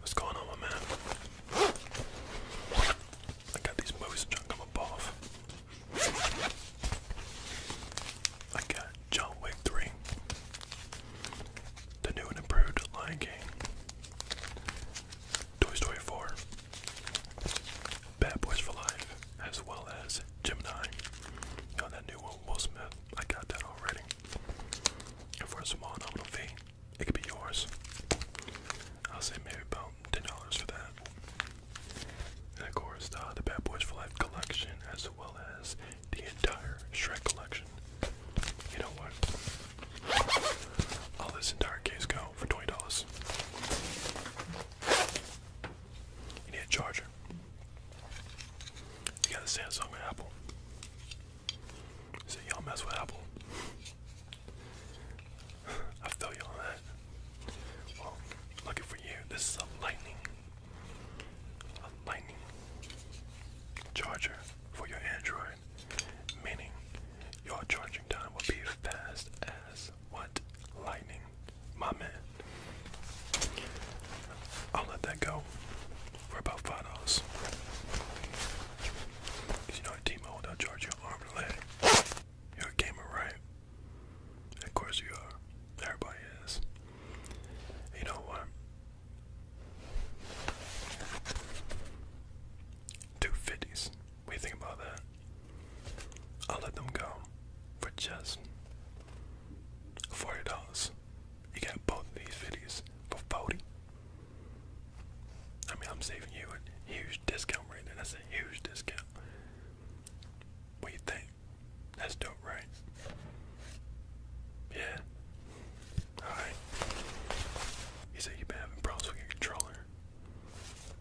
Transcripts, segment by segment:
What's going on, my man? I got these movies junk them above. I got John Wick 3, the new and improved Lion King, Toy Story 4, Bad Boys for Life, as well as Gemini. You know, that new Will Smith. I got that already. And for a small nominal fee, it could be yours. I'll say maybe ten dollars for that. And of course, the, Bad Boys for Life collection, as well as the entire Shrek collection. You know what? All this entire case go for twenty dollars. You need a charger. You got a Samsung and Apple. So y'all mess with Apple. I feel you on that. Well, lucky for you, this is a lightning, a lightning charger for your Android, meaning your charging time will be fast as what lightning, my man. I'll let that go for about five dollars. you know at T-Mobile they charge you arm and leg. you a gamer, right? Of course you are. Everybody is. You know what? Two fifties. What you think about that? I'll let them go for just forty dollars. You got both these videos for 40 I mean, I'm saving you a huge discount right there. That's a huge discount. What you think? That's dope, right? Yeah. Alright. You said you've been having problems with your controller.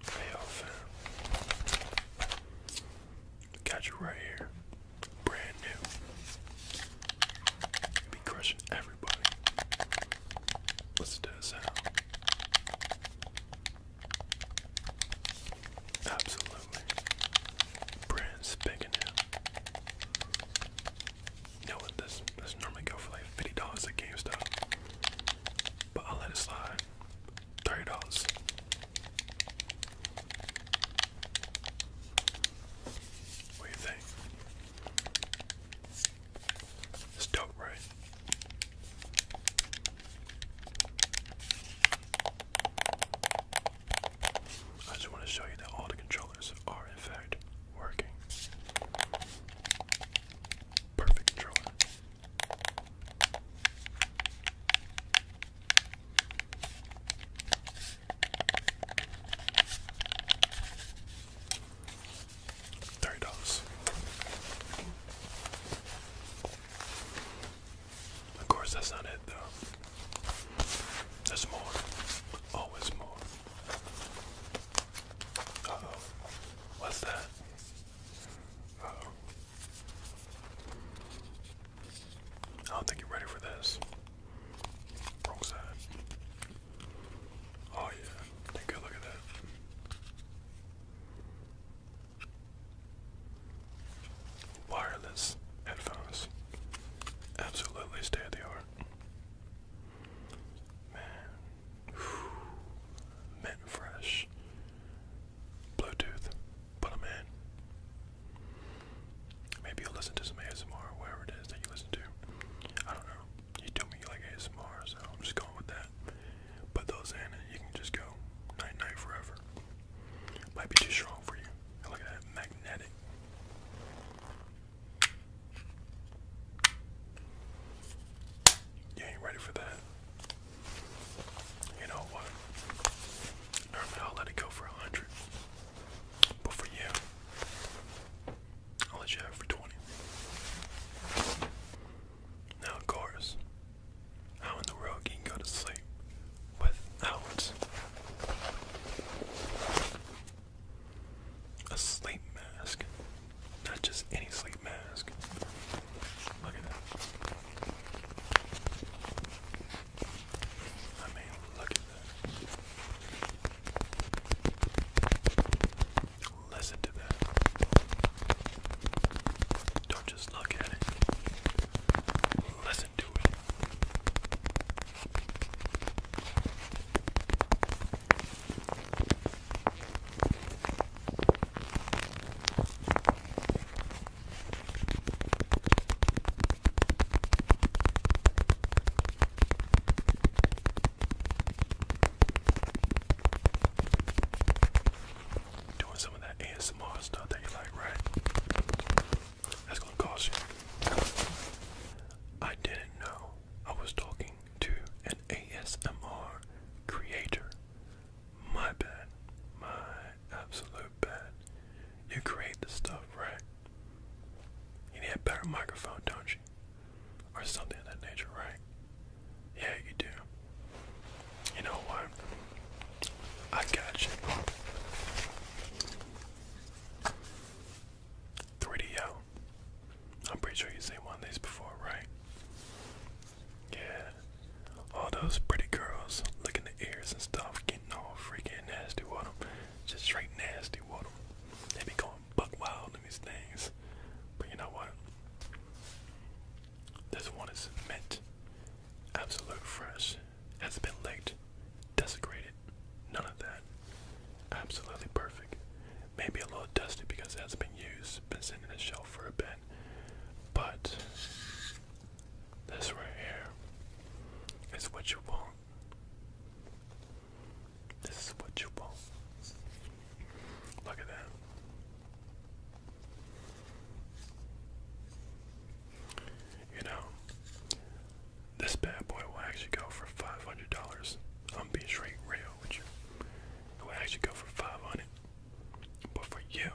Hey, Got you right here. Brand new. be crushing everybody. Listen to this sound. Absolutely. Brand spanking new. You know what? This, this normally go for like $50 at GameStop. But I'll let it slide. $30. What do you think? It's dope, right? I just want to show you that all the controllers are in fact working. Perfect controller. Thirty dollars. Of course, that's not it, though. There's more. Always more. oh. What's that? oh. I don't think you're ready for this. Oh, Wireless headphones. Absolutely state of the art. Man. Mint fresh. Bluetooth. Put them in. Maybe you'll listen to some ASMR, wherever it is that you listen to. I don't know. You told me you like ASMR, so I'm just going with that. Put those in, and you can just go night night forever. Might be too strong for you. look at that magnetic. You ain't ready for that. You know what? Normally I'll let it go for a hundred. But for you, I'll let you have for 20. Now, of how in the world can you go to sleep without a sleep mask? Not just any sleep mask. Look at that. I mean, look at that. Listen to that. Don't just look at it. Listen to it. Doing some of that ASMR stuff that you like, right? That's gonna cost you. I didn't know I was talking to an ASMR creator. My bad. My absolute bad. You create the stuff, right? You need a better microphone, don't you? Or something of that nature, right? Yeah, you do. You know what? I got you. 3DO. I'm pretty sure you've seen one of these before, right? Yeah. All those pretty girls licking the ears and stuff, getting all freaking nasty with them. Just straight nasty water. They be going buck wild in these things. But you know what? This one is mint. Absolute fresh. Hasn't been licked, desecrated, none of that. Absolutely perfect. Maybe a little dusty because it hasn't been used, been sitting in the shelf for a bit. But this right here is what you want this is what you want. Look at that. You know, this bad boy will actually go for five hundred dollars. I'm being straight real with you. It will actually go for five hundred. But for you,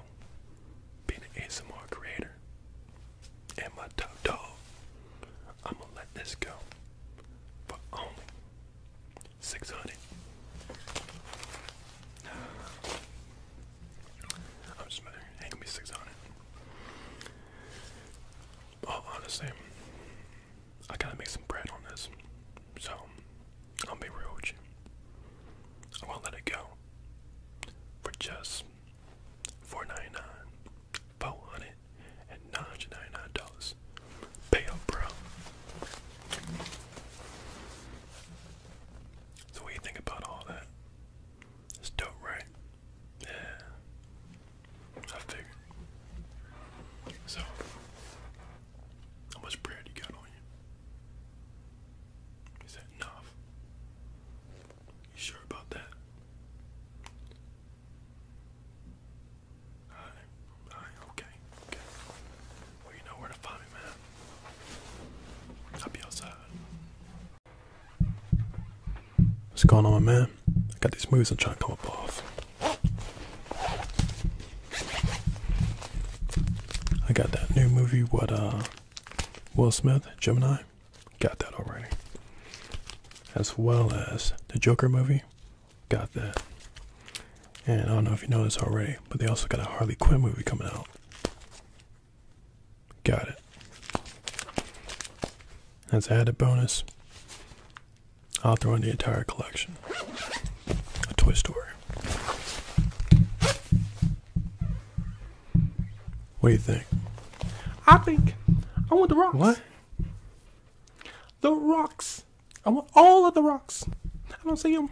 being an ASMR creator, and my top dog. I'm gonna let this go for only 600. I'm just mad. It ain't gonna be 600. Well, honestly, I gotta make some bread on this. So, I'll be real with you. I won't let it go for just $4.99 four hundred and ninety-nine dollars. Pay up, bro. So what you think about all that? It's dope, right? Yeah. I figured. So, how much bread you got on you? Is that enough? You sure about that? Alright, alright, okay, okay. Well, you know where to find me, man. I'll be outside. What's going on, man? I got these moves I'm trying to come up off. I got that new movie, what, uh, Will Smith, Gemini? Got that already. As well as the Joker movie. Got that. And I don't know if you know this already, but they also got a Harley Quinn movie coming out. Got it. As added bonus, I'll throw in the entire collection. A Toy Story. What do you think? I think I want the rocks. What? The rocks. I want all of the rocks. I don't see them.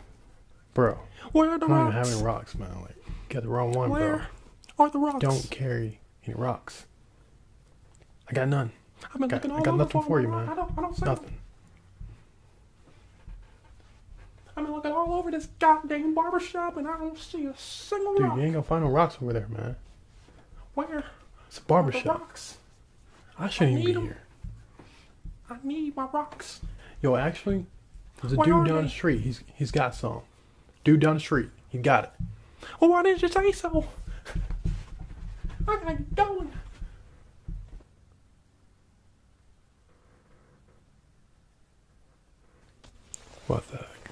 Bro. Where are the I'm rocks? I'm not having rocks, man. Like, got the wrong one, Where bro. are the rocks? Don't carry any rocks. I got none. I've been got, looking I got nothing for you, man. I don't, I don't see nothing. I've been looking all over this goddamn barber shop, and I don't see a single Dude, rock. Dude, you ain't gonna find no rocks over there, man. Where? It's a barbershop. Rocks? I shouldn't even be here. I need my rocks. Yo, actually, there's a dude down the street. He's he's got some. Dude down the street. He got it. Well, oh, why didn't you say so? I got to get going. What the heck?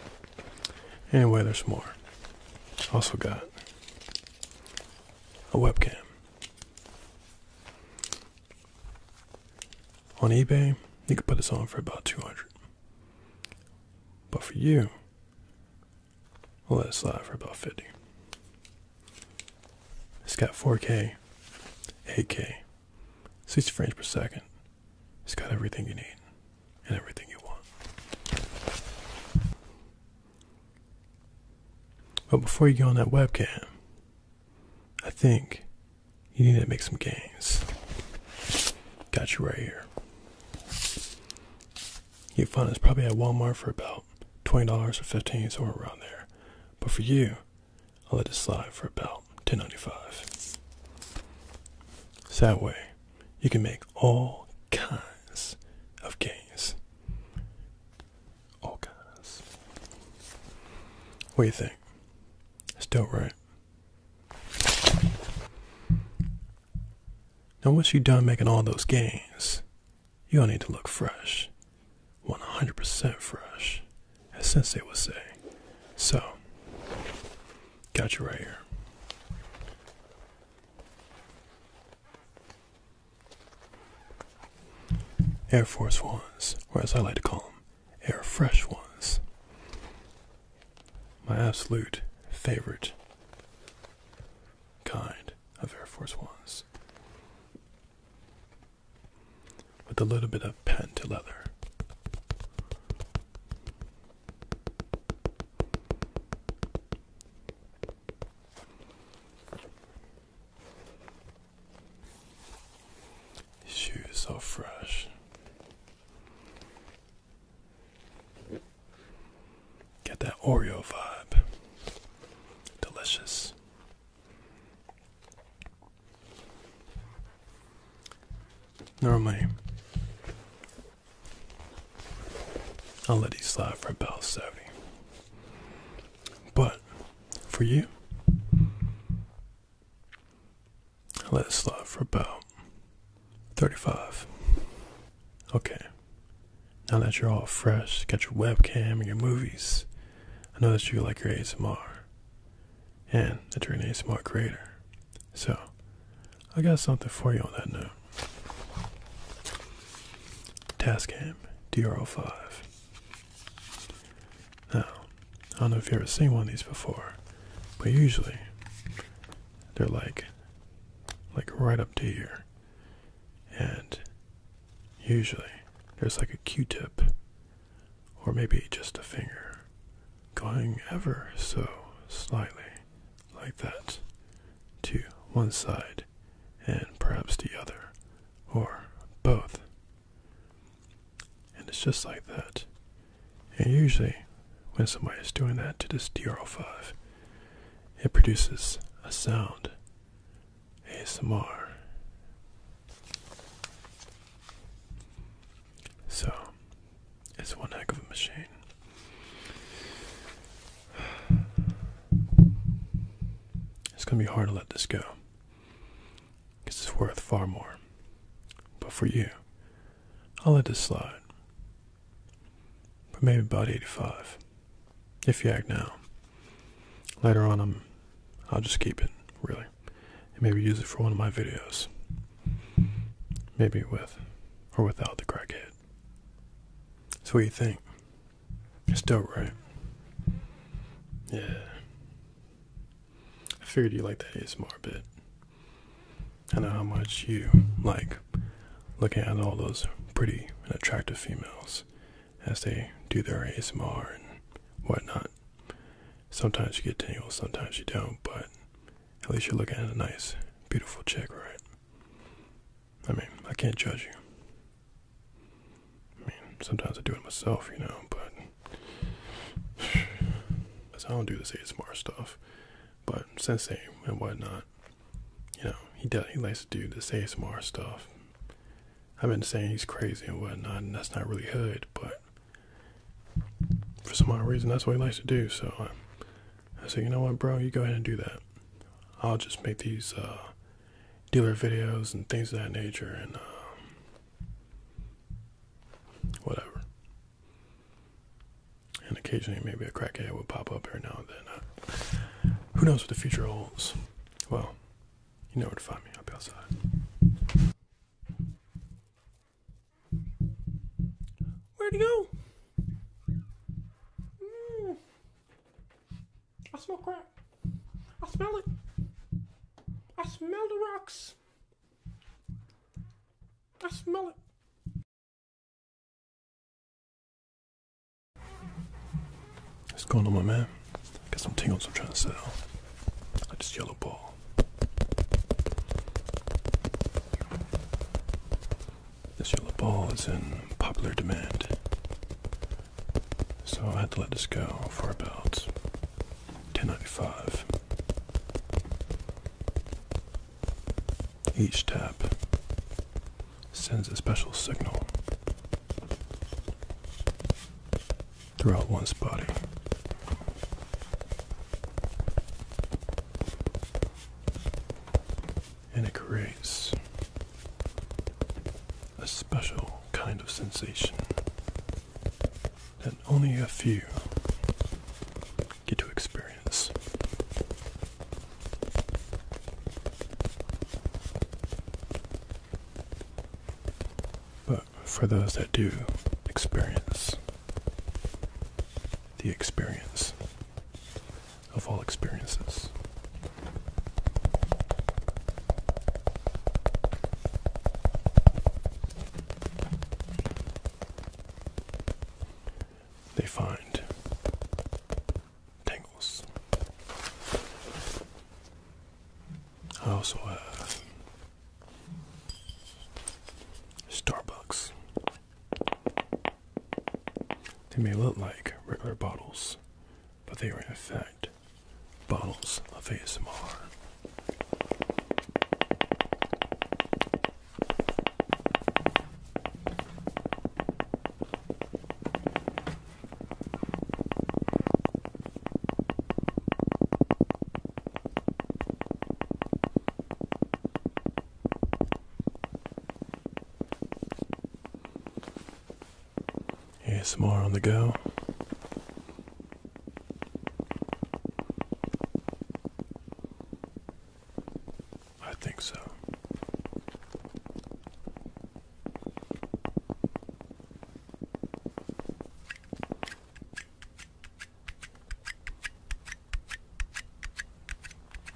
Anyway, there's more. Also got a webcam. On eBay, you could put this on for about 200. But for you, I'll let it slide for about 50. It's got 4K, 8K, 60 frames per second. It's got everything you need and everything you want. But before you go on that webcam, I think you need to make some gains. Got you right here. You find it's probably at Walmart for about twenty dollars or fifteen, somewhere around there. But for you, I'll let it slide for about ten ninety-five. So that way, you can make all kinds of gains. All kinds. What do you think? It's dope, right? Now, once you're done making all those gains, you'll need to look fresh. 100% fresh, as Sensei would say. So, got you right here. Air Force Ones, or as I like to call them, Air Fresh Ones. My absolute favorite kind of Air Force Ones. With a little bit of patent leather. These shoes so fresh. Get that Oreo vibe. Delicious. Normally, I'll let you slide for about 70. But for you, I'll let it slide for about 35. Okay. Now that you're all fresh, got your webcam and your movies, I know that you like your ASMR and that you're an creator. So, I got something for you on that note. Tascam DR05. Now, I don't know if you've ever seen one of these before, but usually they're like, like right up to here, and usually there's like a Q-tip, or maybe just a finger, going ever so slightly like that, to one side and perhaps the other, or both. And it's just like that. And usually, when somebody is doing that to this DR05, it produces a sound. ASMR. So, it's one heck of a machine. It's going to be hard to let this go because it's worth far more. But for you, I'll let this slide. But maybe about 85. If you act now. Later on, I'm, I'll just keep it, really. And maybe use it for one of my videos. Maybe with or without the crackhead. That's what you think. It's dope, right? Yeah. I figured you like that ASMR bit. I know how much you like looking at all those pretty and attractive females as they do their ASMR and whatnot. Sometimes you get tingles, sometimes you don't, but at least you're looking at a nice, beautiful chick, right? I mean, I can't judge you. I mean, sometimes I do it myself, you know, but I don't do this ASMR stuff. But Sensei and whatnot, you know, he does he likes to do this ASMR stuff. I've been saying he's crazy and whatnot, and that's not really hood, but for some odd reason that's what he likes to do, so I I said, you know what, bro, you go ahead and do that. I'll just make these uh, dealer videos and things of that nature and um, whatever. And occasionally, maybe a crackhead will pop up every now and then. Uh, who knows what the future holds? Well, you know where to find me. I'll be outside. Where'd he go? Mm. I smell crap. I smell it. I smell the rocks. I smell it. What's going on, my man? Got some tingles I'm trying to sell. I just yellow ball. This yellow ball is in popular demand. So I had to let this go for about 10.95. Each tap sends a special signal throughout one's body and it creates a special kind of sensation that only a few get to experience. But for those that do experience the experience, of all experiences. They find tangles. I also have Starbucks. They may look like regular bottles, but they are in fact bottles of ASMR more on the go. I think so.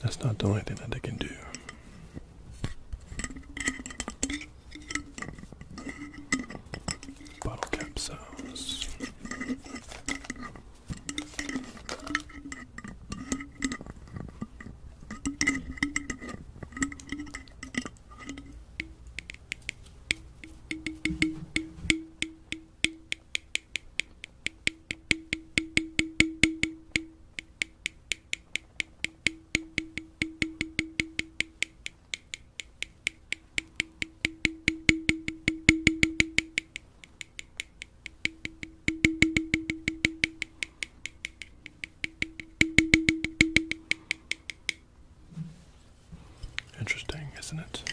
That's not the only thing that they can do. Bottle cap Interesting, isn't it?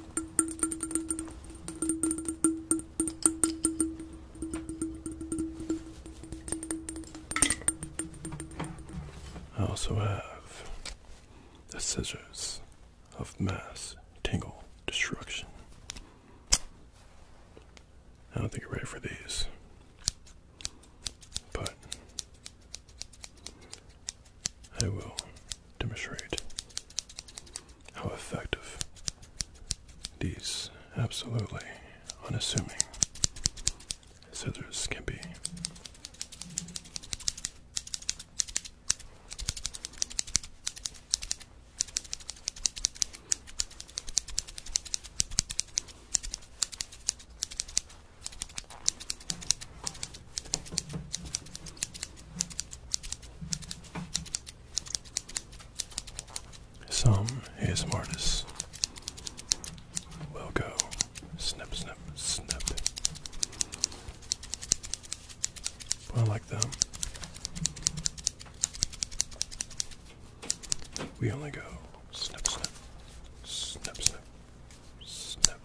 I also have the scissors of mass tingle destruction. I don't think you're ready for these, but I will demonstrate how effective these absolutely unassuming scissors can be. Some ASM artists will go snip, snip, snip. I like them. We only go snip, snip, snip, snip, snip.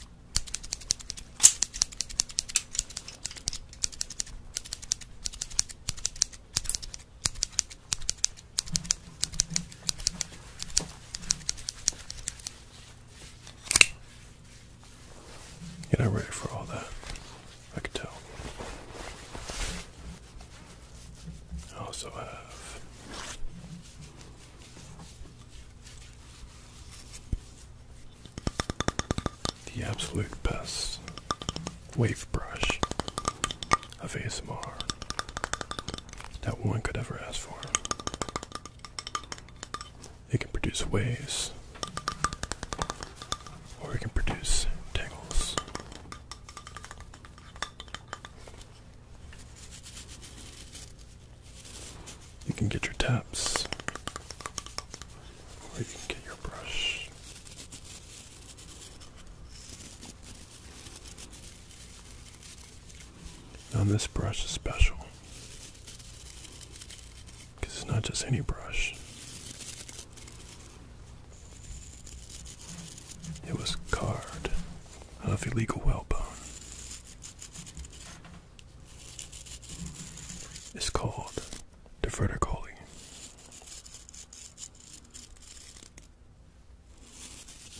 You're not ready for all that. I can tell. I also have the absolute best wave brush of ASMR that one could ever ask for. It can produce waves, or it can produce tangles. You can get your taps, or you can get your your brush. Now this brush is special because it's not just any brush. It was carved out of illegal whalebone. It's called to vertically.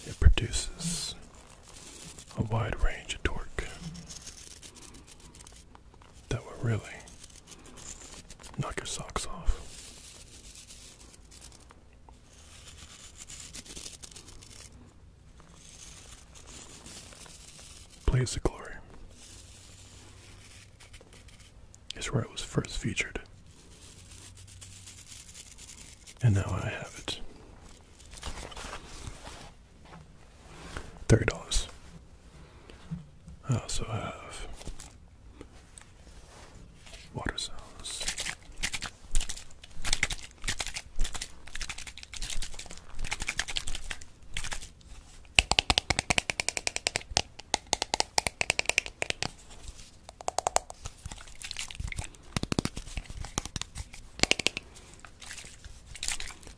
It produces a wide range of torque that would really knock your socks off. Blaze of Glory is where it was first featured. And now I have it. Thirty dollars. I also have water sounds.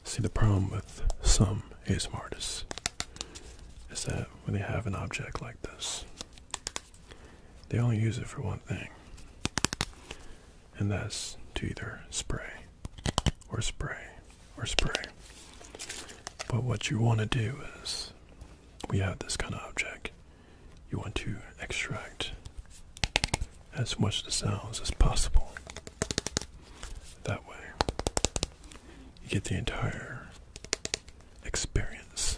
See, the problem with some ASM is that when they have an object like this, they only use it for one thing, and that's to either spray or spray or spray. But what you want to do is we have this kind of object. You want to extract as much of the sounds as possible. That way, you get the entire experience.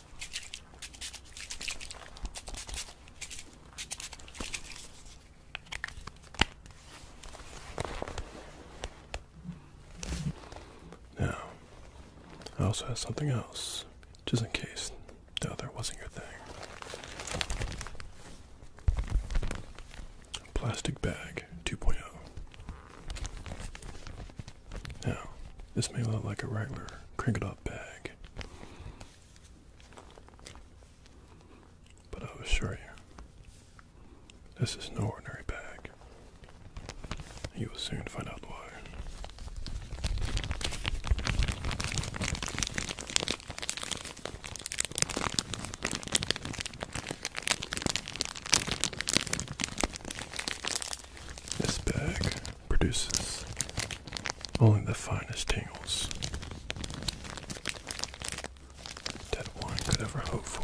Now, I also have something else, just in case the other wasn't your thing. Plastic bag 2.0. Now, this may look like a regular crinkled up bag, but I'll assure you, this is no ordinary bag. You will soon find out why. This bag produces only the finest tingles that one could ever hope for.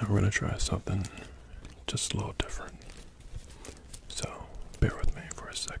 Now we're going to try something just a little different. So bear with me for a second.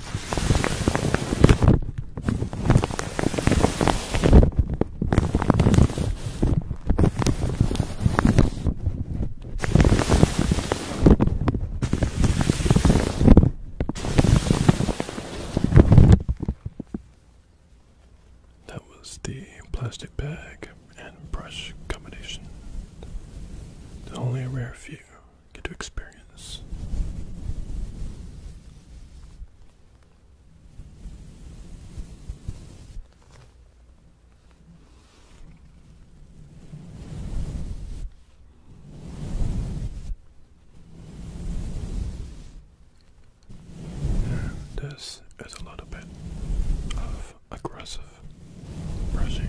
That was the plastic bag and brush combination. There's only a rare few get to experience. this is a little bit of aggressive brushing.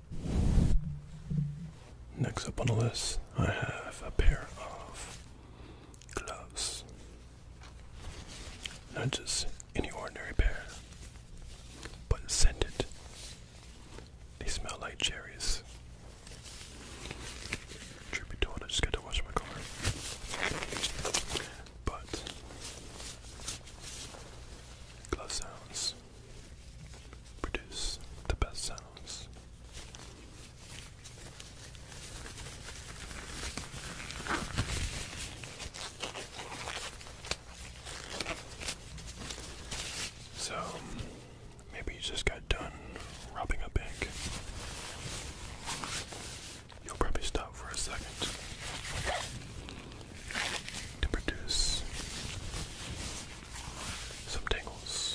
Next up on the list, I have a pair of gloves. Not just any ordinary pair, but scented. They smell like cherries. Truth be told, I just got to wash my car. But glove sounds produce the best sounds. So, maybe you just got done robbing a bank. You'll probably stop for a second to produce some tingles.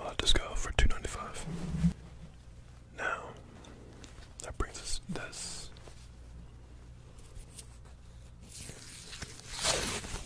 I'll just go for two ninety five. Now that brings us this.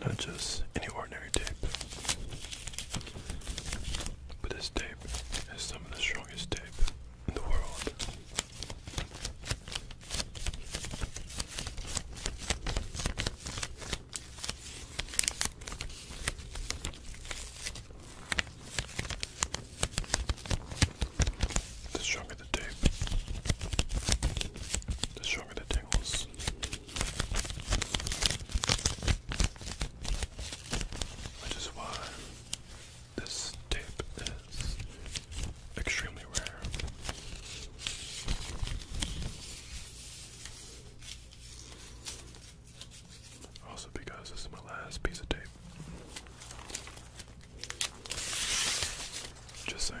Not just any ordinary tape, but this tape is some of the strongest tape the world. stronger the tape, the stronger the tingles. Which is why this tape extremely rare. Also, because this is my last piece of tape. Just saying.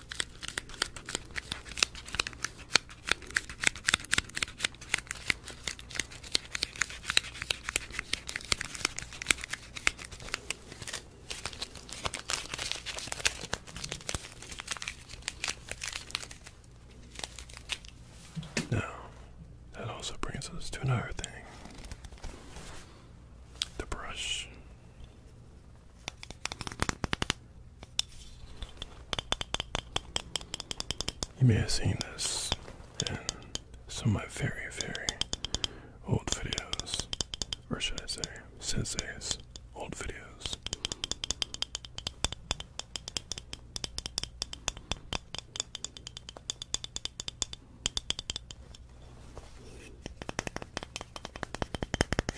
Now, that also brings us to another thing the brush. You may have seen this in some of my very, very old videos, or should I say, Sensei's old videos.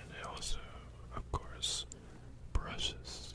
And it also, of course, brushes.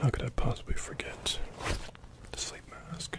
how could I possibly forget the sleep mask?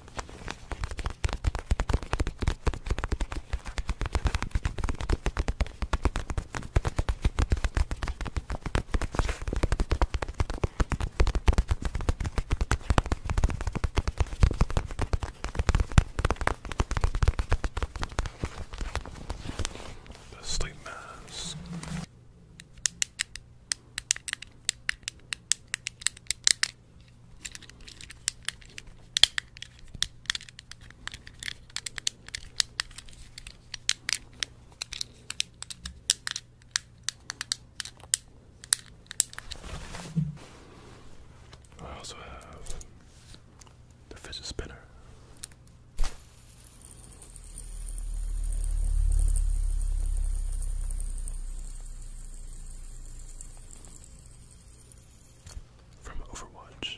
The sleep mask. I also have the fidget spinner from Overwatch.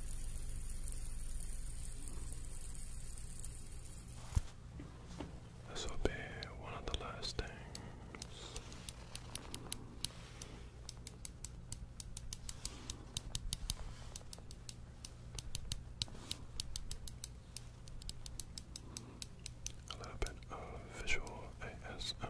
This will be one of the last things. A little bit of visual ASMR.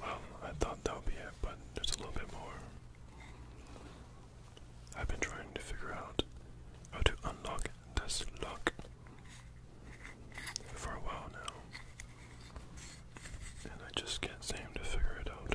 Well, I thought that would be it, but there's a little bit more. I've been trying to figure out how to unlock this lock for a while now. And I just can't seem to figure it out.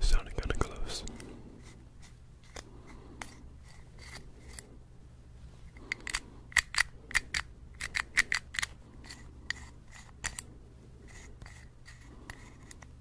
Sounding kind of close.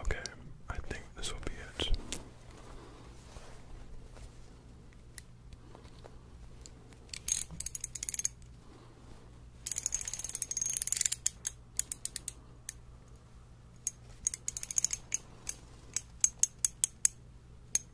Okay, I think this will be it.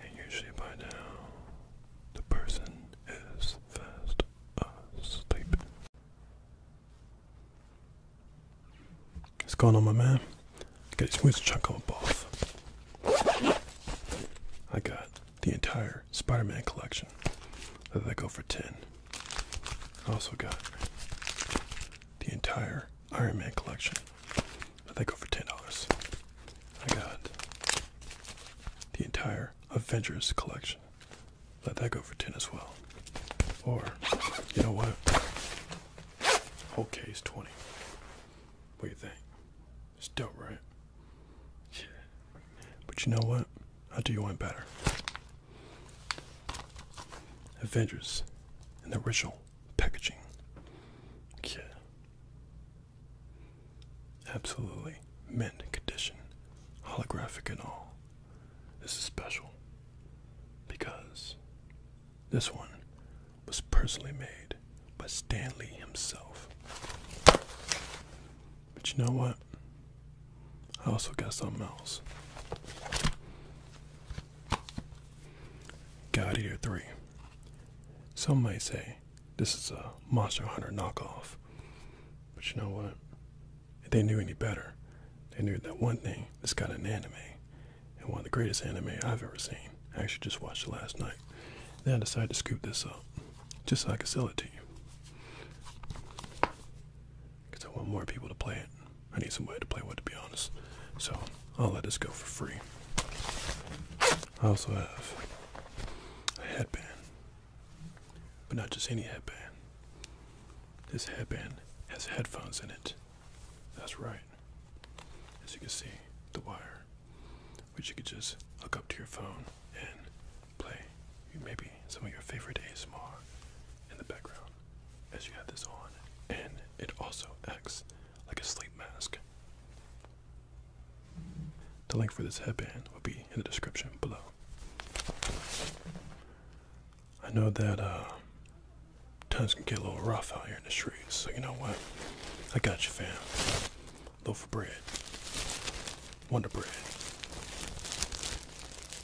And usually by now, the person is fast asleep. It's gone on, my man? Get this woods off. I got the entire Spider-Man collection. Let that go for ten. I also got the entire Iron Man collection. But they go for ten dollars. I got the entire Avengers collection. Let that go for ten as well. Or you know what? Whole case twenty. What do you think? It's dope, right? Yeah. But you know what? I will do you one better. Avengers and the original packaging. Yeah. Absolutely mint condition, holographic and all. This is special because this one was personally made by Stanley himself. But you know what? I also got something else. God Eater 3. Some might say this is a Monster Hunter knockoff, but you know what? If they knew any better, they knew that one thing this got an anime, and one of the greatest anime I've ever seen. I actually just watched it last night. Then I decided to scoop this up just so I could sell it to you. Because I want more people to play it. I need some way to play with, to be honest. So I'll let this go for free. I also have a headband, but not just any headband. This headband has headphones in it. That's right. As you can see, the wire, which you could just hook up to your phone and play maybe some of your favorite ASMR in the background as you have this on. And it also acts like a sleep mask. The link for this headband will be in the description below. I know that uh, times can get a little rough out here in the streets, so you know what? I got you, fam. Loaf of bread, Wonder Bread.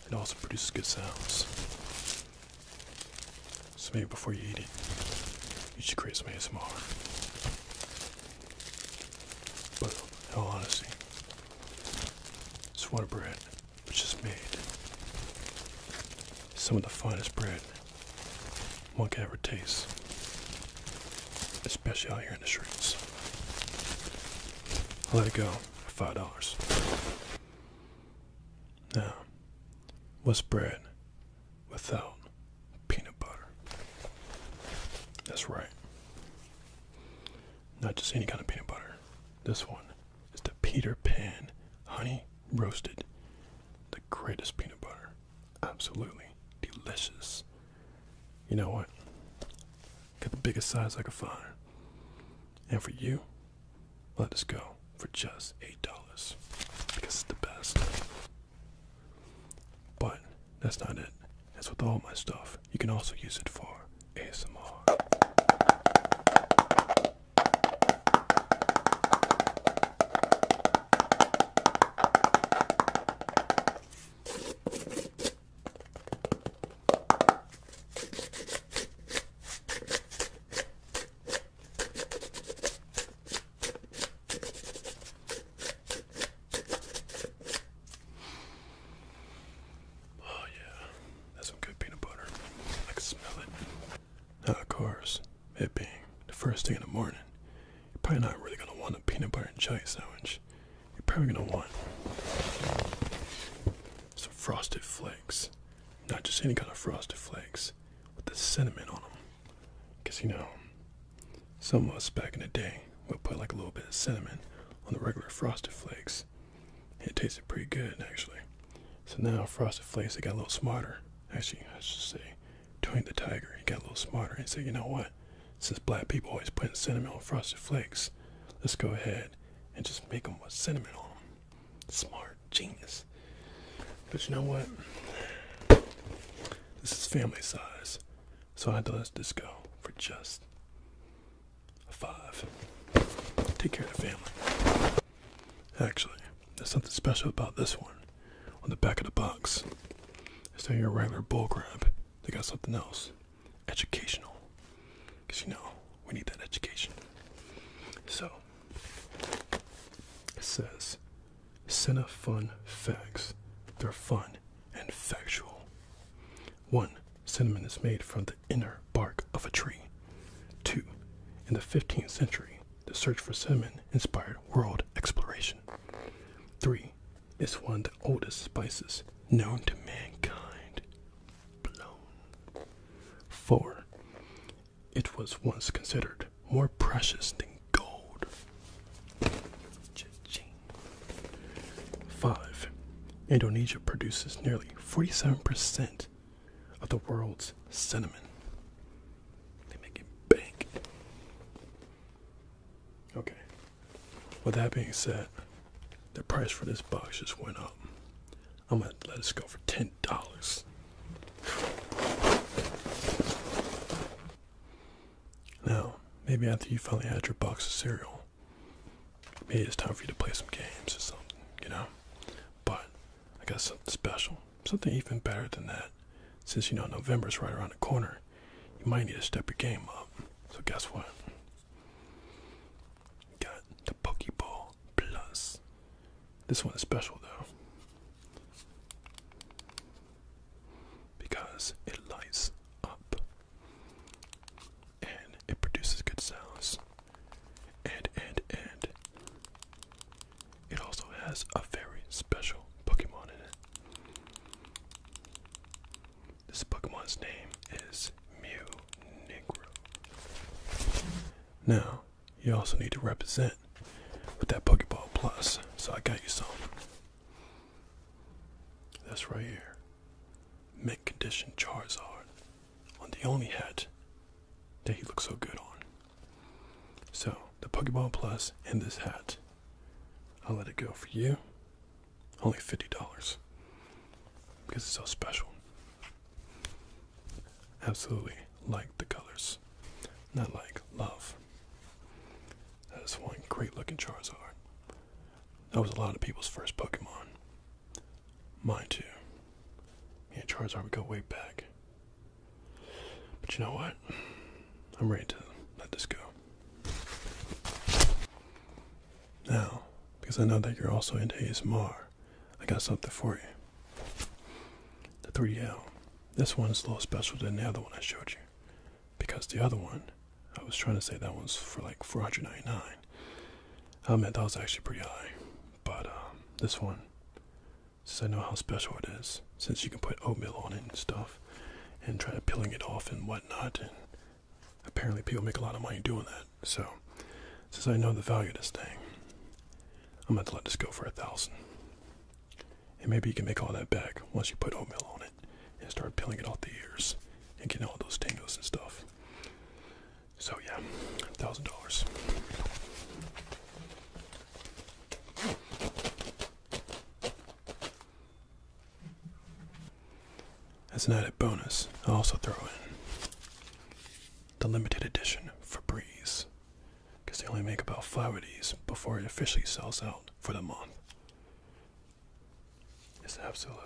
It also produces good sounds. So maybe before you eat it, you should create some ASMR. But in all honesty, Swanna bread, which just made some of the finest bread one can ever taste, especially out here in the streets. I let it go for five dollars. Now, what's bread without peanut butter? That's right. Not just any kind of peanut butter. This one is the Peter Pan Honey Roasted. The greatest peanut butter. Absolutely delicious. You know what? Got the biggest size I could find. And for you, let us go for just $8 because it's the best. But that's not it. That's with all my stuff. You can also use it for ASMR. Oh, yeah, that's some good peanut butter. I can smell it. Now, of course, it being the first thing in the morning, you're probably not really going to want a peanut butter and jelly sandwich. You're probably going to want some frosted flakes. Not just any kind of frosted flakes, with the cinnamon on them. Because, you know, some of us back in the day would put like a little bit of cinnamon on the regular frosted flakes. It tasted pretty good, actually. So now frosted flakes, they got a little smarter. Actually, I should say, Tony the Tiger, he got a little smarter and said, you know what? Since black people always putting cinnamon on frosted flakes, let's go ahead and just make them with cinnamon on them. Smart, genius. But you know what? This is family size. So I had to let this go for just a five. Take care of the family. Actually, there's something special about this one. On the back of the box, instead of your regular bull crab, they got something else. Educational. Because you know, we need that education. So, it says Cinnamon Facts. They're fun and factual. 1. Cinnamon is made from the inner bark of a tree. 2. In the 15th century, the search for cinnamon inspired world exploration. 3. It's one of the oldest spices known to mankind. Blown. 4. It was once considered more precious than gold. Five. Indonesia produces nearly 47% of the world's cinnamon. They make it big. Okay. With that being said, the price for this box just went up. I'm gonna let us go for ten dollars. Now, maybe after you finally had your box of cereal, maybe it's time for you to play some games or something, you know? But I got something special, something even better than that. Since you know November's right around the corner, you might need to step your game up. So guess what? Got the Pokeball Plus. This one is special though because it lights up and it produces good sounds. And, and, and. It also has a very special Pokemon in it. This Pokemon's name is Mew Negro. Now, you also need to represent with that Pokeball Plus. So I got you some. That's right here. Mint condition Charizard on the only hat that he looks so good on. So the Pokeball Plus and this hat. I'll let it go for you. Only fifty dollars. Because it's so special. Absolutely like the colors. Not like love. That is one great looking Charizard. That was a lot of people's first Pokemon. Mine too. Yeah, Charizard would go way back. But you know what? I'm ready to let this go. Now, because I know that you're also into ASMR, I got something for you. The 3 L. This one is a little special than the other one I showed you. Because the other one, I was trying to say that one's for like 499. I meant that was actually pretty high. But um, this one, since I know how special it is, since you can put oatmeal on it and stuff, and try peeling it off and whatnot, and apparently people make a lot of money doing that. So, since I know the value of this thing, I'm going to let this go for a thousand. And maybe you can make all that back once you put oatmeal on it and start peeling it off the ears and get all those tangles and stuff. So yeah, thousand dollars. As an added bonus, I will also throw in the limited edition Febreze because they only make about five of these before it officially sells out for the month. It's absolutely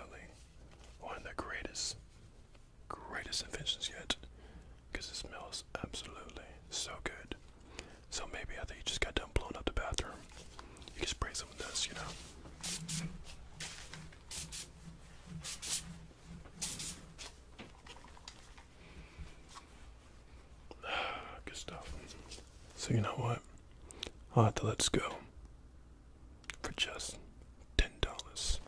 one of the greatest, greatest inventions yet, because it smells absolutely so good. So maybe after you just got done blowing up the bathroom, you can spray some of this, you know. Good stuff. So you know what? i have to let's go for just ten dollars.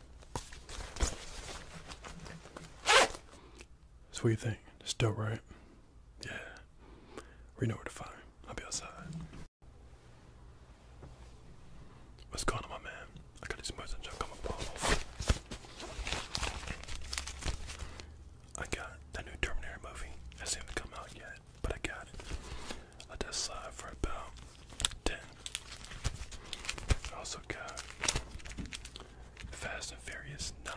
That's what you think? It's Still right? Yeah. We know where to find. him. I'll be outside. What's going on, my man? I got these merchants junk I got the new Terminator movie. It hasn't even come out yet, but I got it. I just saw it for about 10. I also got Fast and Furious 9.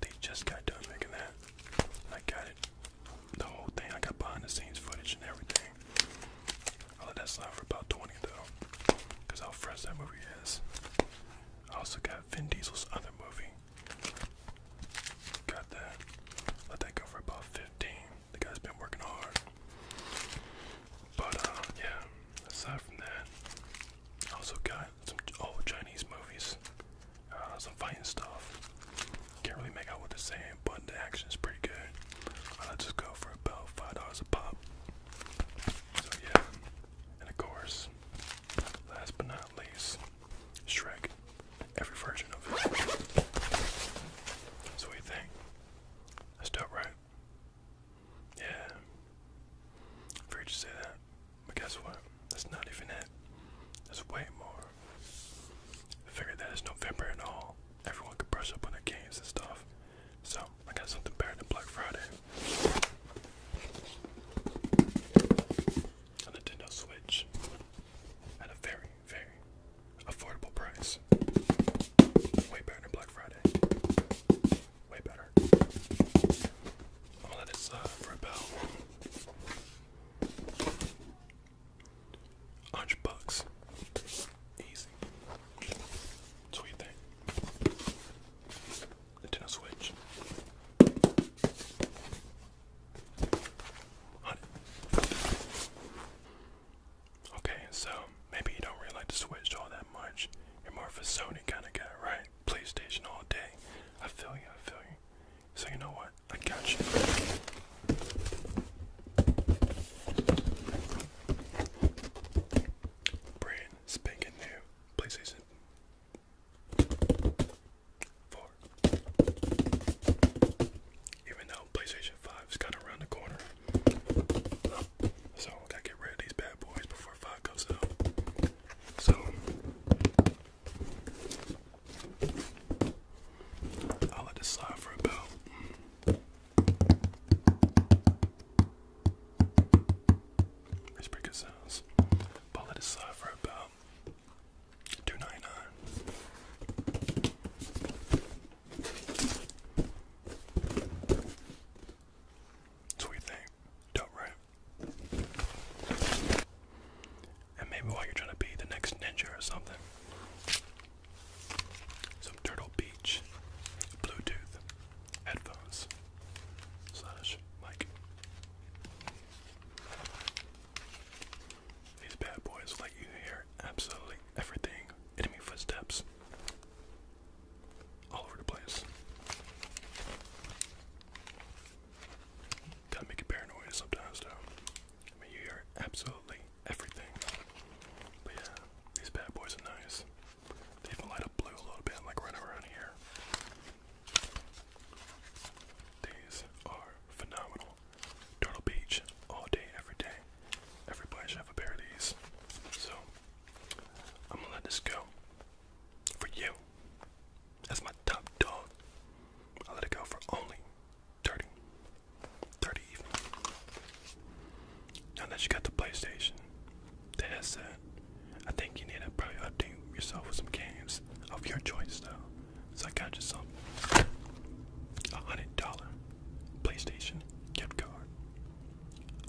They just got done making that. I got it. The whole thing. I got behind the scenes footage and everything. I let that slide for about 20 though. Because how fresh that movie is. I also got Vin Diesel's other movie. Got that. Let that go for about 15. The guy's been working hard. But, uh, yeah, aside from that, also got some old oh, Chinese movies, uh, some fighting stuff. Can't really make out what they're saying, but the action is pretty good. I'll uh, just go for about $5 a pop. So, yeah, and of course, last but not least, Shrek. Every version of it. So, what think? That's dope, right? Yeah. I heard you say that. But guess what? That's not even it. There's way more. I figured that it's November and all. Everyone could brush up on their games and stuff. So, I got something better than Black Friday a Nintendo Switch at a very, very affordable price. Way better than Black Friday. Way better. I'm uh, for about hundred bucks. Easy. That's what Nintendo Switch. Okay, so maybe you don't really like the Switch all that much. You're more of a Sony kind of guy, right? PlayStation all day. I feel you, I feel you. So you know what? I got you. Brand spanking new PlayStation Four. Even though PlayStation 5 is kind of around the corner. So gotta get rid of these bad boys before 5 comes out. So I'll let this slide for about. That's pretty good sounds. But let it slide uh, for about two ninety nine. That's what Dope, right? And maybe while you're trying to be the next ninja or something. Some Turtle Beach Bluetooth headphones slash mic. These bad boys let you hear absolutely everything. Enemy footsteps all over the place. Gotta make it paranoid sometimes, though. I mean, hear absolutely everything. But yeah, these bad boys are nice. They even light up blue a little bit, like right around here. These are phenomenal. Turtle Beach all day, every day. Everybody should have a pair of these. So, I'm gonna let this go. For you. That's my top dog. I'll let it go for only 30. even. Now that you got the PlayStation, the headset, I think you need to probably update yourself with some games of your choice though. So I got you some a hundred dollar PlayStation gift card.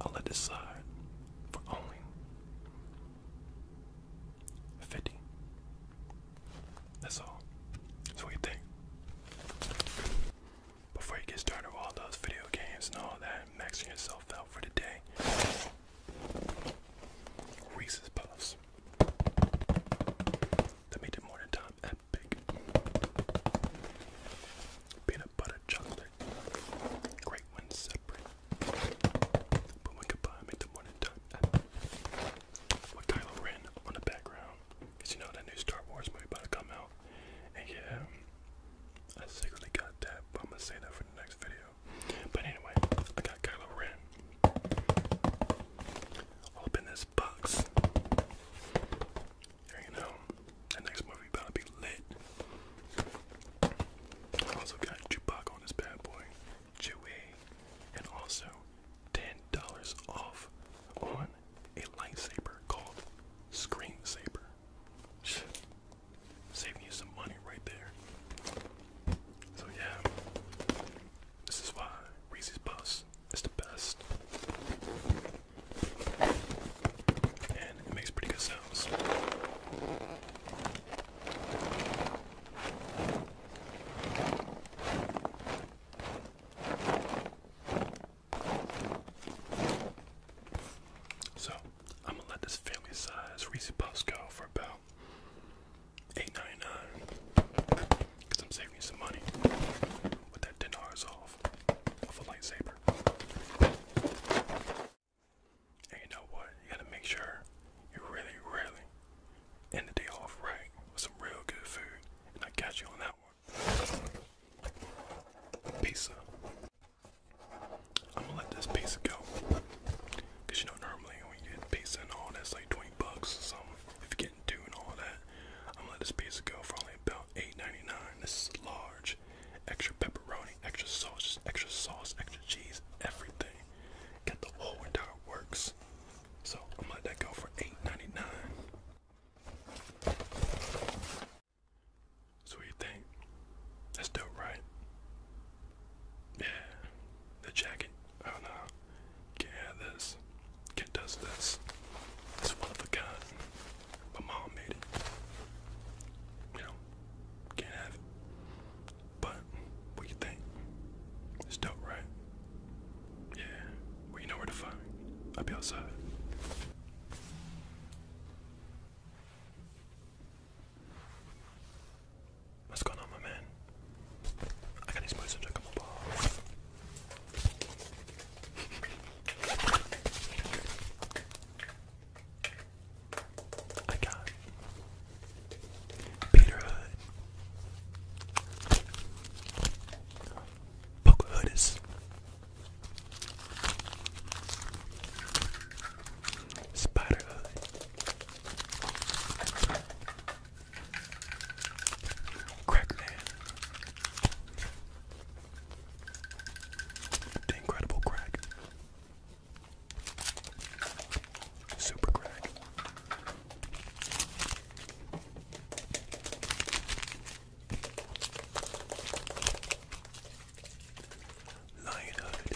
I'll let this slide for only fifty. That's all. So what you think? Before you get started with all those video games and all that, maxing yourself out for the day. Reese's Puffs. That made the morning time epic. Peanut butter chocolate. Great when separate. But when combined, made the morning time epic. Kylo Ren on the background. Because you know that new Star Wars movie about to come out. And yeah, I secretly got that, but I'm gonna say that for the next video. But anyway, I got Kylo Ren. Open this box. There you know, that next movie about to be lit. I also got Chewbacca on this bad boy, Chewie, and also $10 off on a lightsaber called Screensaber. Saving you some money right there. So yeah, this is why Reese's Puffs is the best, and it makes pretty good sounds. So, I'm gonna let this family size Reese Puffs go for about 8 Because I'm saving you some money with that $10 off of a lightsaber. And you know what? You gotta make sure you really, really end the day off right with some real good food. And I catch you on that one. Pizza. I'm gonna let this pizza go. Cause you know normally when you get pizza and all that's like 20 bucks or something. If you're getting two and all that, I'm gonna let this pizza go for only about 8.99. This is large, extra pepperoni, extra sauce, just extra sauce, extra cheese, everything. Got the whole entire works. So I'm gonna let that go for 8.99. So what you think? That's dope, right? Yeah, the jacket. Oh no, can't have this. Can't touch this. It's one of a kind. My mom made it. You know, can't have it. But what you think? It's right? Yeah. Well, you know where to find I'll be outside. What's going on, my man? I got these boys to check on my I got Peter Hood. Pocahontas. Spider Hood. Crackman. The incredible crack. Super crack. Lionhood.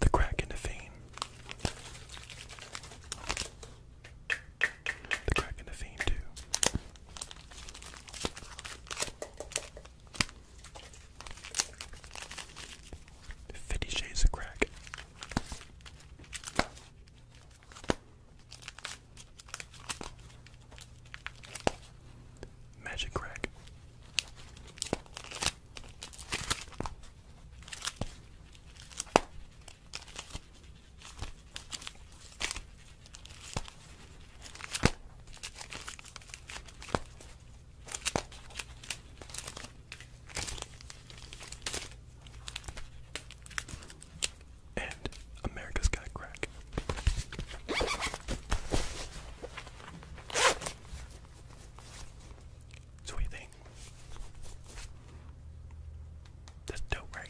The crack into fame. The crack into fame too. Fifty shades of crack. Magic crack. And America's got crack. So what you That's dope, right?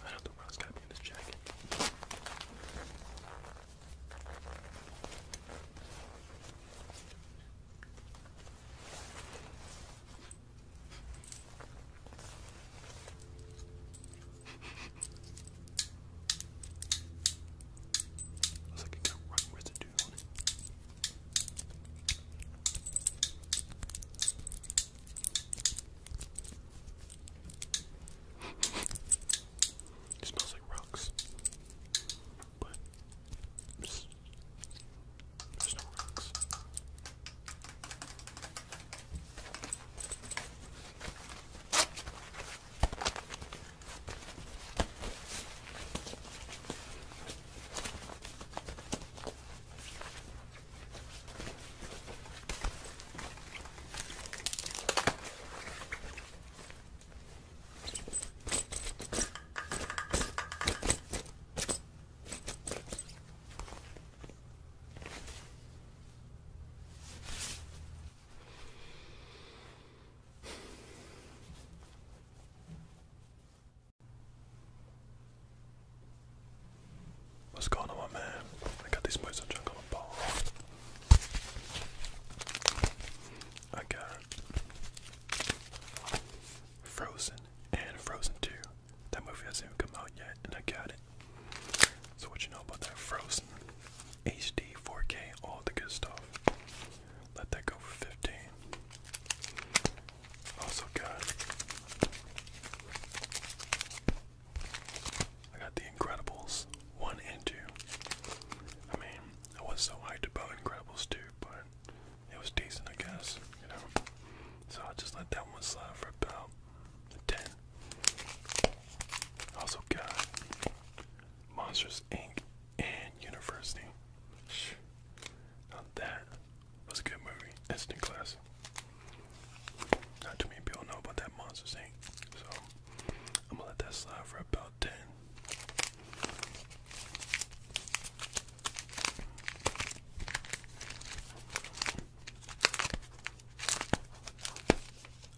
I don't think Ross got me in this jacket. Looks like it got rock residue on it. It smells like rocks. But there's, no rocks. What's going on, my man? I got these boys on junk on the ball. I got Frozen and Frozen 2. That movie hasn't even come out yet, and I got it. So, what you know about that Frozen? HD, 4K, all the good stuff. Let that go for 15. Also got I got The Incredibles 1 and 2. I mean, I was so hyped about Incredibles 2, but it was decent, I guess, you know. So i just let that one slide for about 10. Also got Monsters Inc. and University. Now that was a good movie. Instant classic. Not too many people know about that Monsters Inc. So I'm gonna let that slide for about I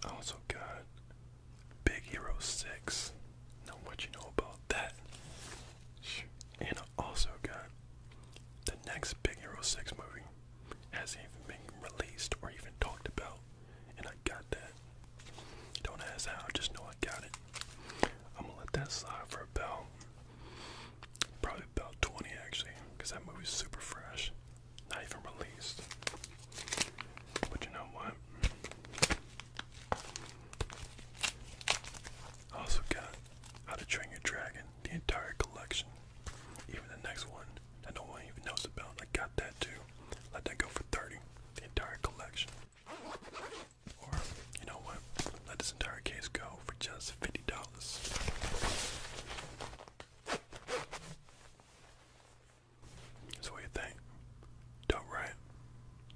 also got Big Hero 6. Know what you know about that. And I also got the next Big Hero 6 movie. Hasn't been released or even talked about and I got that. Don't ask how, just know I got it. I'm gonna let that slide for about probably about 20 actually, because that movie's super fresh, not even released. But you know what? also got How to Train Your Dragon, the entire collection, even the next one that no one even knows about. I got that too. Let that go for 30 the entire collection. Or, you know what? Let this entire case go for just fifty dollars. So what you think? Dope, right?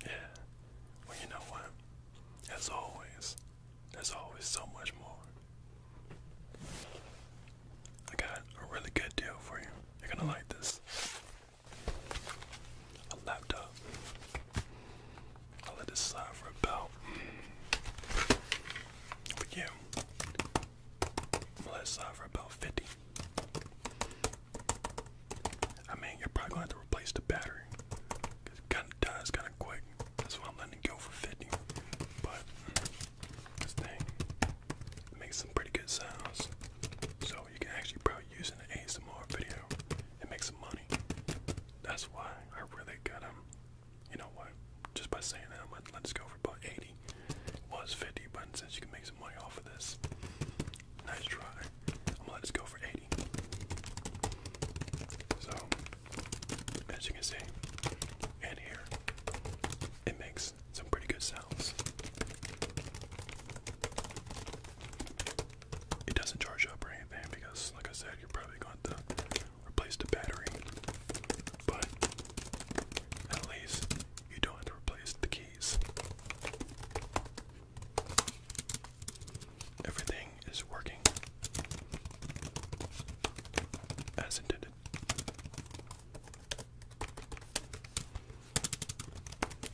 Yeah. Well, you know what? As always, there's always so much more. I got a really good deal for you. You're gonna like this. A laptop. I'll let this slide for about. But yeah. am gonna let it slide for about 50. I mean, you're probably gonna have to replace the battery. Cause it kinda dies kinda quick. That's why I'm letting it go for 50. But this thing makes some pretty good sounds. So you can actually probably use in an ASMR video and make some money. That's why I really got him. Um, you know what? Just by saying that, I'm gonna let's go for about 80. Was 50, but since you can make some money off of this, nice try. I'm gonna let's go for 80. So, as you can see, and here, it makes some pretty good sounds. It doesn't charge up or anything because, like I said, you're probably going to replace the battery. But at least you don't have to replace the keys. Everything is working as intended.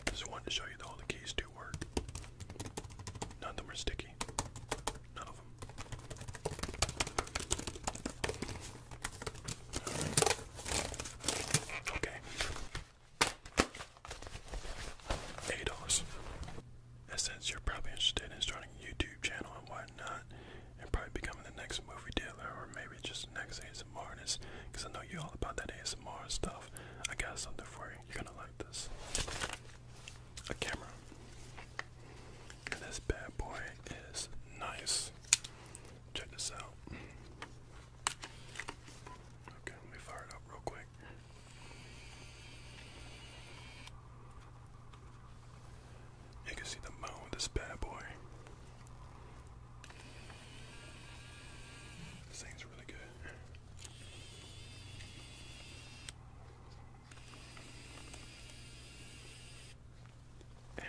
Just wanted to show you that all the keys do work. None of them are sticky. None of them. Okay. ADOS. And since you're probably interested in starting a YouTube channel and whatnot, and probably becoming the next movie deal or maybe just next ASMR artist I know you all about that ASMR stuff. I got something for you. You're gonna like this. A camera. this bad boy is nice. Check this out. Okay, let me fire it up real quick. You can see the moon, this bad boy. This thing's really good.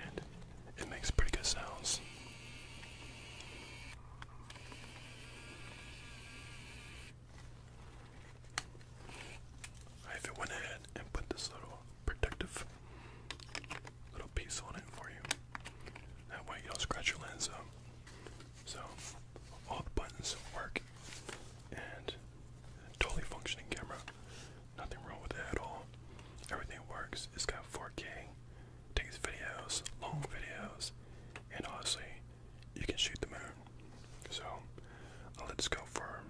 And it makes pretty good sounds. I even went ahead and put this little protective little piece on it for you. That way you don't scratch your lens up. So all the buttons work and totally functioning camera. Nothing wrong with it at all. Everything works. It's got 4K, takes videos, long videos, and honestly, you can shoot the moon. So let's go for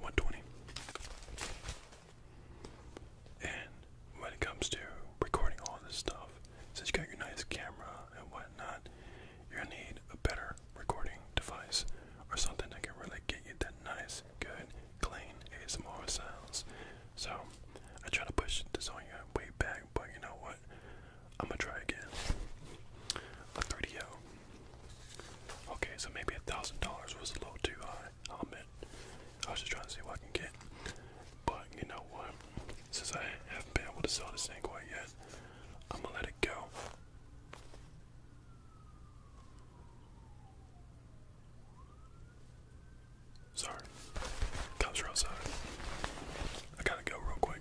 120. And when it comes to recording all this stuff, since you got your nice camera and whatnot, you're gonna need a better recording device or something that can really get you that nice, good, clean ASMR sounds. So I try to push this on you way back, but you know what? I'm gonna try again. A 3DO. Okay, so maybe a thousand dollars was a little too high. I'll admit. I was just trying to see what I can get. But you know what? Since I haven't been able to sell this thing quite yet, I'm gonna let it go. Sorry. Cops are outside. I gotta go real quick.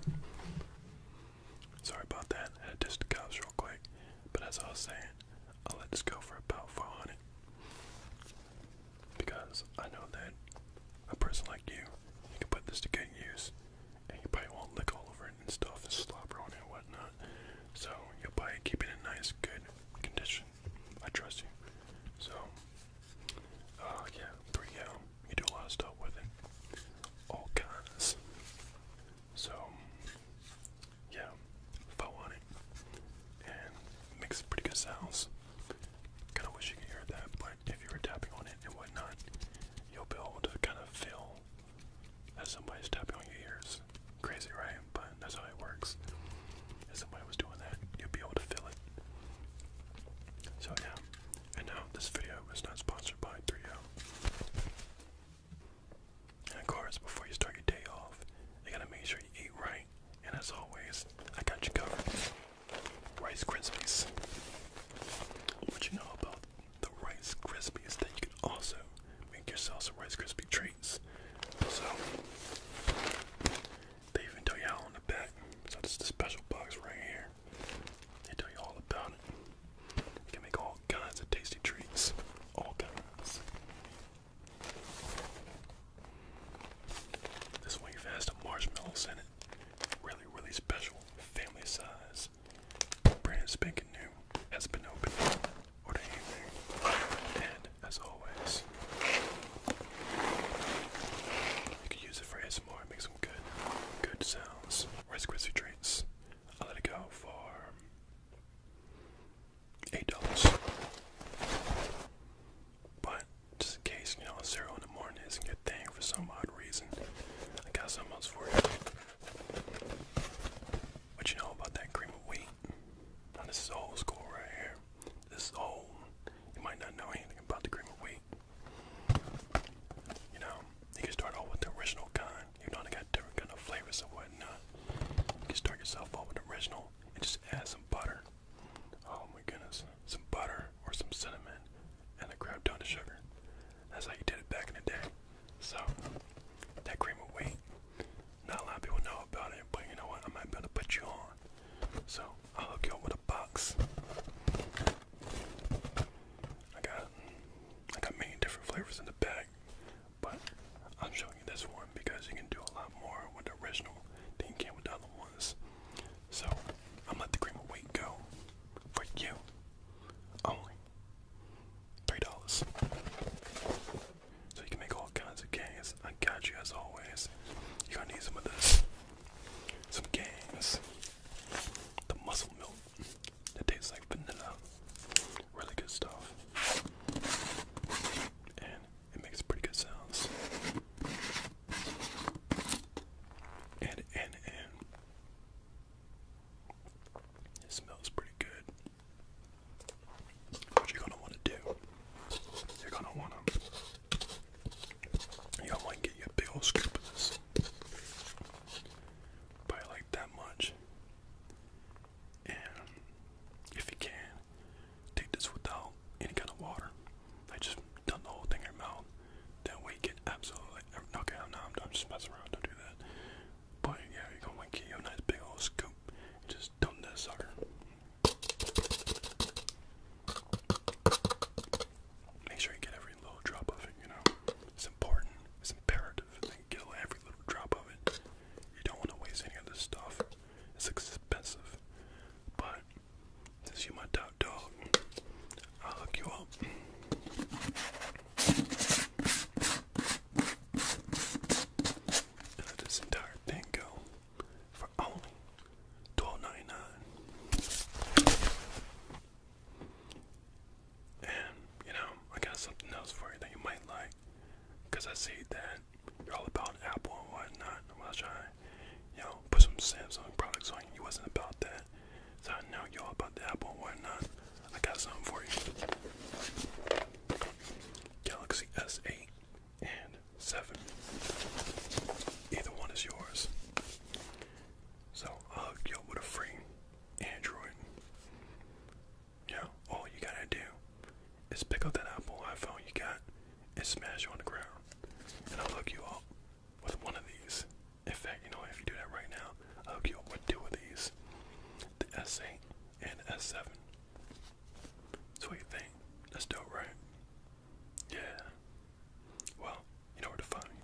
Sorry about that. I had just the real quick. But as I was saying, I'll let this go for about 400 because I know that a person like you, you can put this to good use, and you probably won't lick all over it and stuff and slobber on it and whatnot. So you'll probably keep it in nice, good condition. I trust you. So, uh, yeah, there you go. You do a lot of stuff with it, all kinds. So, yeah, if I want it, and it makes pretty good sounds. Kind of wish you could hear that, but if you were tapping on it and whatnot, you'll be able to kind of feel that somebody's tapping on your ears. Crazy, right? But that's how it works. If somebody was doing that, you'd be able to feel it. So yeah, and now this video is not sponsored by 3O. And of course, before you start your day off, you gotta make sure you eat right. And as always, I got you covered. Rice Krispies. What you know about the Rice Krispies that you can also make yourself some Rice Krispie treats. So they even tell you how on the back. So this is the special box right here. They tell you all about it. You can make all kinds of tasty treats. All kinds. This one you fast a marshmallows in it. Really, really special. Family size. Brand spanking new. Has been opened or anything. And as always, you can use it for ASMR. Make some good, good sounds. Rice crispy treats. I'll let it go for eight dollars. But just in case, you know, zero in the morning isn't good thing for some odd reason, I got something else for you. What you know about that cream of wheat? this is old school right here. This is old. You might not know anything about the cream of wheat. You know, you can start off with the original kind. You know they got different kind of flavors and whatnot. You can start yourself off with the original and just add some butter. Oh my goodness. Some butter or some cinnamon and a crap ton of sugar. That's how you did it back in the day. So, that cream of wheat, not a lot of people know about it, but you know what? I might be able to put you on. So, I'll hook you up with a box. I got, I got many different flavors in the bag, but I'm showing you this one because you can do a lot more with the original than you can with the other ones. So I'm let the cream of wheat go for you. Only three dollars. So you can make all kinds of games. I got you as always. You're to need some of this. Some games. The muscle milk. That tastes like vanilla. Really good stuff. And it makes pretty good sounds. And, and, and. It smells pretty good. What you're gonna wanna do, you're gonna wanna, you're going wanna get you a big old like that much. And if you can, take this without any kind of water. I just done the whole thing in your mouth. That way you get absolutely okay. I'm not. I'm just messing around. Don't do that. But yeah, you're get you nice big old scoop. Just dump that sucker. Make sure you get every little drop of it. You know, it's important. It's imperative get every little drop of it. You don't want to waste any of this stuff. It's expensive, but this is are my top dog, I'll hook you up. Let this entire thing go for only twelve ninety nine. And you know, I got something else for you that you might like, I see that you're all about Apple and whatnot. I'm going you put some Samsung products on He wasn't about that. So I y'all about the Apple and whatnot. I got something for you. Galaxy S8 and 7. Either one is yours. So I'll hook you up with a free Android. Yeah, all you gotta do is pick up that Apple iPhone you got and smash it on the ground. And I'll hook you up with one of these. In fact, you know, if you do that right now, I'll get up with two of these. The S8 and the S7. So what you think? That's dope, right? Yeah. Well, you know where to find me.